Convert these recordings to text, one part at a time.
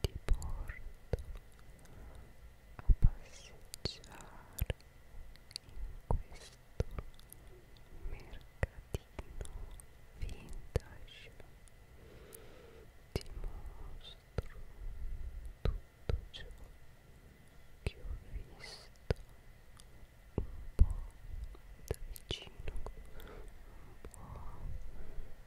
ti porto a passeggiare in questo mercatino vintage ti mostro tutto ciò che ho visto un po' da vicino un po'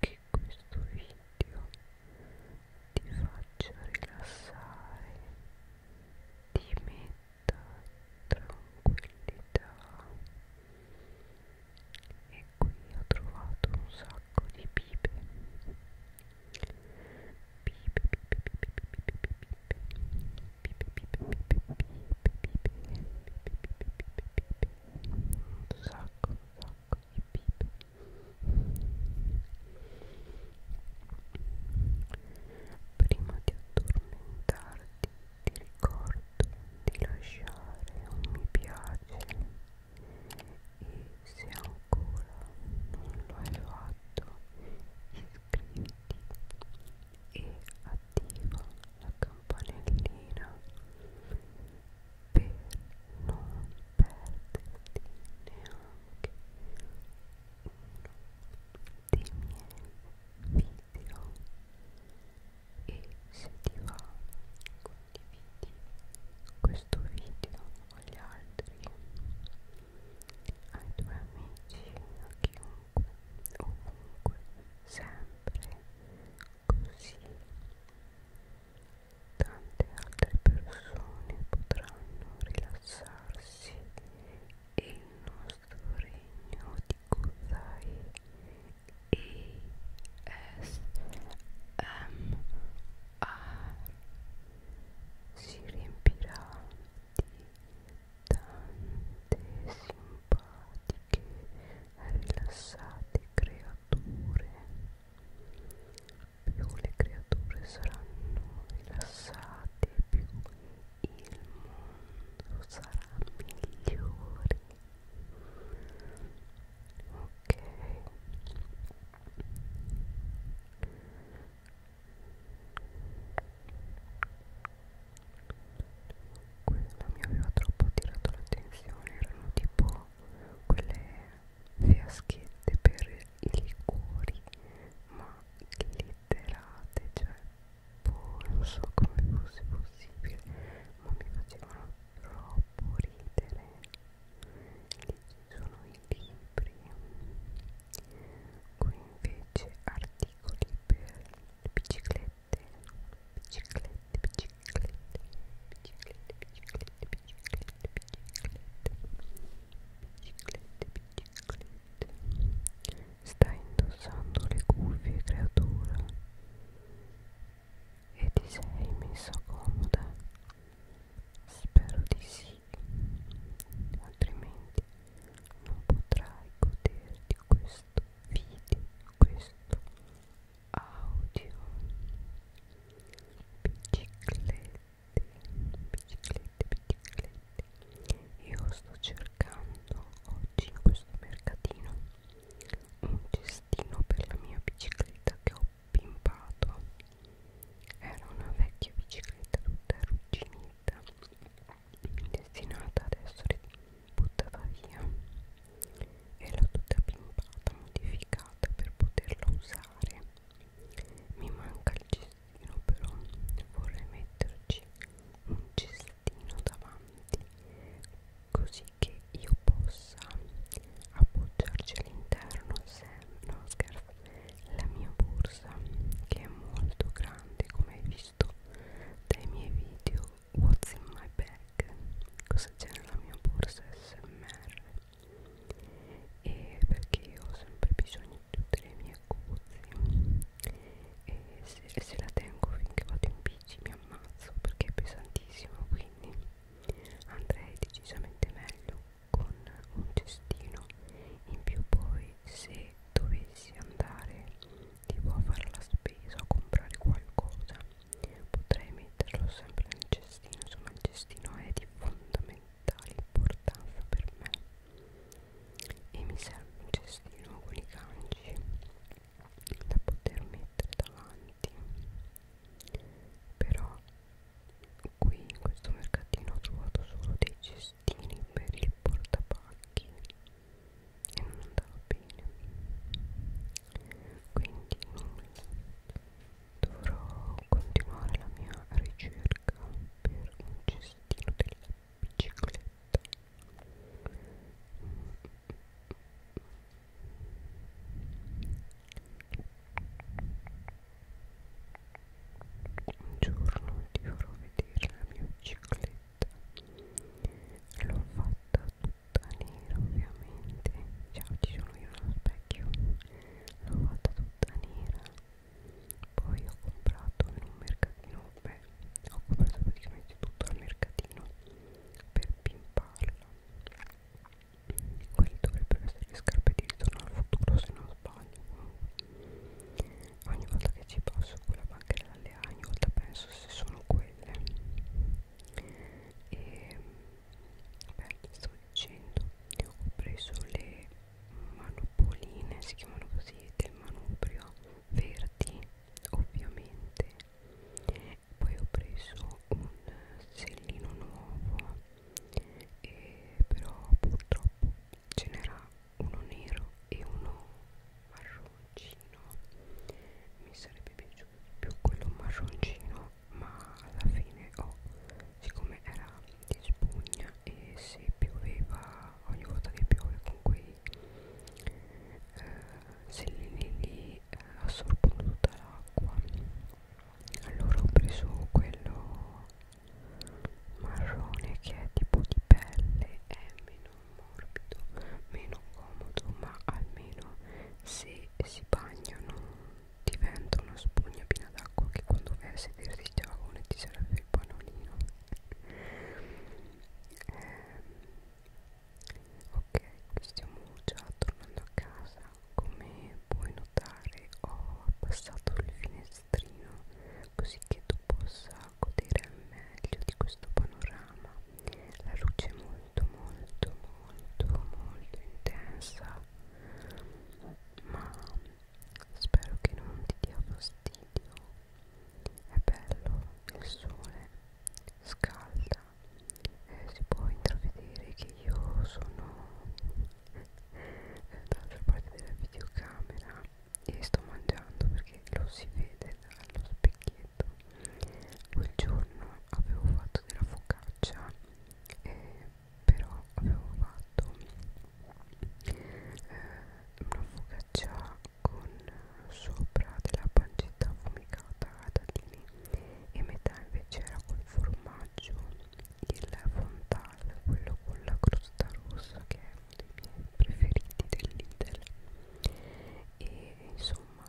che questo video ti faccia rilassare, ti metta tranquillità e qui ho trovato un sacco di pipe pipe un sacco un sacco Beep, beep. Prima di addormentarti ti ricordo di lasciare un mi piace e se ancora non lo hai fatto iscriviti e attiva la campanellina per non perderti neanche uno dei miei video e se ti va condividi questo video con gli altri ai tuoi amici a chiunque ovunque sempre così tante altre persone potranno rilassarsi e il nostro regno di Kozai ASMR si riempirà di tante simpatiche rilassate creature creature più le creature saranno rilassate più il mondo sarà migliore ok quello mi aveva troppo attirato l'attenzione erano tipo quelle fiaschette per i liquori ma glitterate cioè boh, non so come fosse possibile ma mi facevano troppo ridere lì ci sono i libri qui invece articoli per biciclette, biciclette, biciclette, biciclette, biciclette, biciclette, biciclette, biciclette. Stai indossando le cuffie, creatura, e ti sei messa comoda? Spero di sì, altrimenti non potrai goderti questo video questo audio biciclette biciclette biciclette io sto cercando oggi in questo mercatino un cestino per la mia bicicletta che ho pimpato era una vecchia bicicletta tutta arrugginita destinata ad essere buttata via e l'ho tutta pimpata, modificata per poterla usare mi manca il cestino però vorrei metterci un cestino davanti così che io possa appoggiarci all'interno se no scherzo la mia borsa che è molto grande come hai visto gusto dai miei video What's in my bag cosa c'è nella mia borsa smr e perché io ho sempre bisogno di tutte le mie cose e se, se la tengo finché vado in bici mi ammazzo perché è pesantissima quindi andrei decisamente meglio con un cestino in più poi se dovessi andare tipo a fare la spesa o comprare qualcosa potrei metterlo sempre nel cestino insomma il cestino è di fondamentale importanza per me e mi serve un cestino con i ganci da poter mettere davanti però qui in questo mercatino ho trovato solo dei cestini per il portapacchi e non andava bene quindi nulla dovrò continuare la mia ricerca per un cestino della bicicletta un giorno ti farò vedere la mia bicicletta l'ho fatta tutta nera ovviamente cioè oggi sono io nello specchio l'ho fatta tutta nera poi ho comprato in un mercatino beh ho comprato praticamente tutto al mercatino per pimparla quelle dovrebbero essere le scarpe di ritorno al futuro se non sbaglio ogni volta che ci passo quella banchina dalle A ogni volta penso se sono quelle e beh sto dicendo ho preso le manopoline si chiamano così del manubrio verdi ovviamente poi ho preso un sellino nuovo e però purtroppo ce n'era uno nero e uno marroncino mi sarebbe piaciuto più quello marroncino ma alla fine ho oh, siccome era di spugna e se pioveva ogni volta che piove con quei eh, sellini lì eh, assorbono tutta l'acqua allora ho preso quello marrone che è tipo di pelle è meno morbido meno comodo ma almeno se si bagnano diventa una spugna piena d'acqua che quando vai a sederti il giavone ti serve il pannolino eh, ok stiamo già tornando a casa come puoi notare ho abbassato il finestrino finestrino così che tu possa godere al meglio di questo panorama la luce è molto molto molto molto intensa ma spero che non ti dia fastidio è bello il sole scalda eh, si può intravedere che io sono dall'altra parte della videocamera e sto mangiando perché lo si vede dallo specchietto quel giorno avevo fatto della focaccia eh, però avevo fatto eh, una focaccia con sopra della pancetta affumicata a dadini e metà invece era col formaggio il frontale, quello con la crosta rossa che è uno dei miei preferiti del Lidl e insomma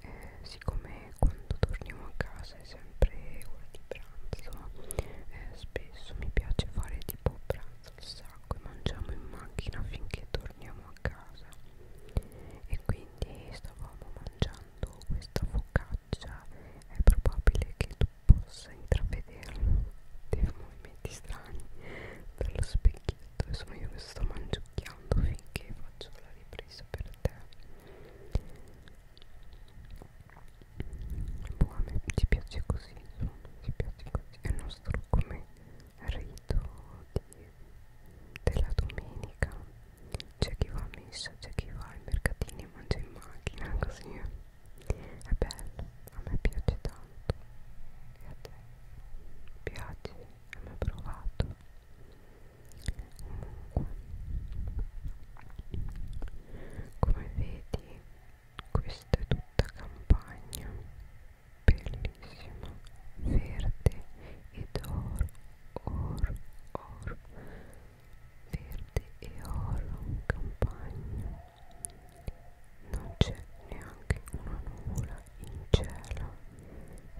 eh, siccome quando torniamo a casa è sempre ora di pranzo eh, spesso mi piace fare tipo pranzo al sacco e mangiamo in macchina finché torniamo a casa e quindi stavamo mangiando questa focaccia è probabile che tu possa intravedere dei movimenti strani dallo specchietto e sono io che sto mangiucchiando finché faccio la ripresa per te boh, a me ci piace così insomma ci piace così è nostro come rito di, della domenica c'è chi va a messa c'è chi va ai mercatini e mangia in macchina così è bello, a me piace tanto e a te piace, hai mai provato comunque come vedi questa è tutta campagna bellissima verde ed or or or verde e oro in campagna non c'è neanche una nuvola in cielo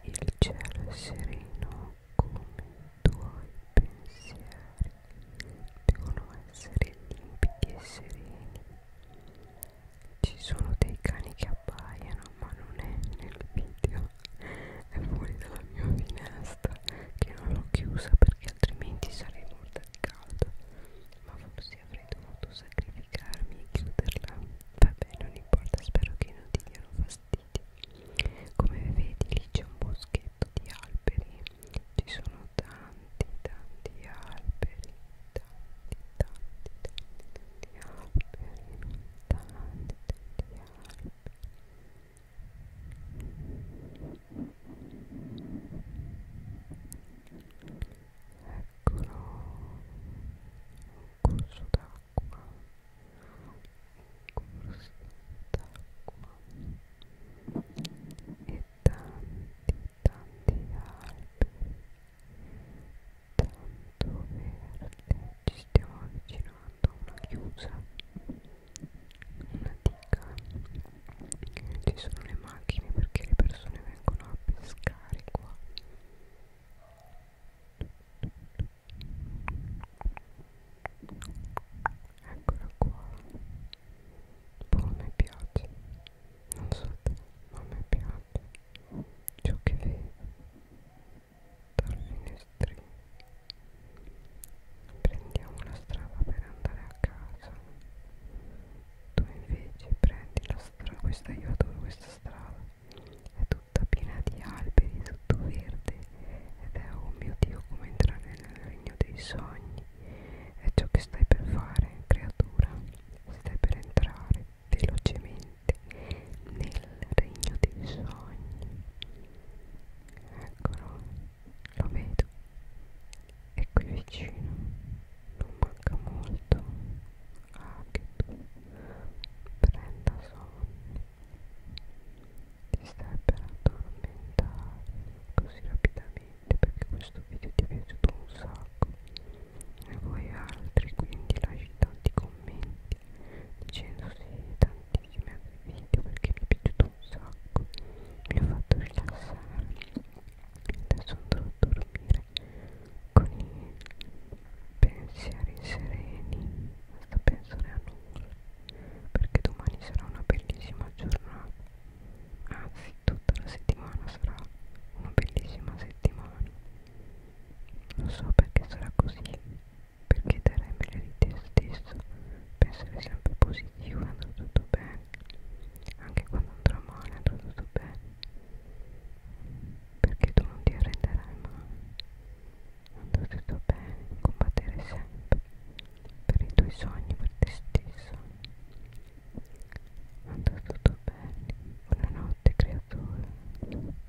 il cielo è sereno come i tuoi pensieri devono essere limpidi e sereni ci sono dei cani che abbaiano ma non è nel video è fuori dalla mia finestra che non l'ho chiusa perché altrimenti sarei morta di caldo ma forse avrei dovuto sacrificarmi e chiuderla vabbè non importa spero che non ti diano fastidio come vedi lì c'è un boschetto di alberi ci sono tanti tanti alberi tanti tanti tanti tanti alberi tanti tanti alberi ecco un corso d'acqua un corso d'acqua e tanti tanti alberi tanto verde ci stiamo avvicinando a una chiusa una diga ci sono le macchine perché le persone vengono a pescare qua eccola qua boh a me piace non so te ma a me piace ciò che vedo dal finestrino prendiamo la strada per andare a casa tu invece prendi la strada questa io adoro questa strada è tutta piena di alberi tutto verde ed è oh mio dio come entrare nel regno dei sogni è ciò che stai per fare creatura stai per entrare velocemente nel regno dei sogni eccolo lo vedo è qui vicino non manca molto ah che tu prenda sonno ti stai per addormentare così rapidamente perché questo video ti è piaciuto un sacco e voi altri quindi lasci tanti commenti dicendo se tanti tantissimi video perché mi è piaciuto un sacco mi ha fatto rilassare adesso andrò a dormire con i pensieri sereni senza pensare a nulla perché domani sarà una bellissima giornata anzi tutta la settimana sarà una bellissima settimana non so perché sarà così perché darai meglio di te stesso pensare sempre positivo andrà tutto bene anche quando andrà male andrà tutto bene perché tu non ti arrenderai mai andrà tutto bene combattere sempre per i tuoi sogni per te stesso andrà tutto bene buonanotte creatore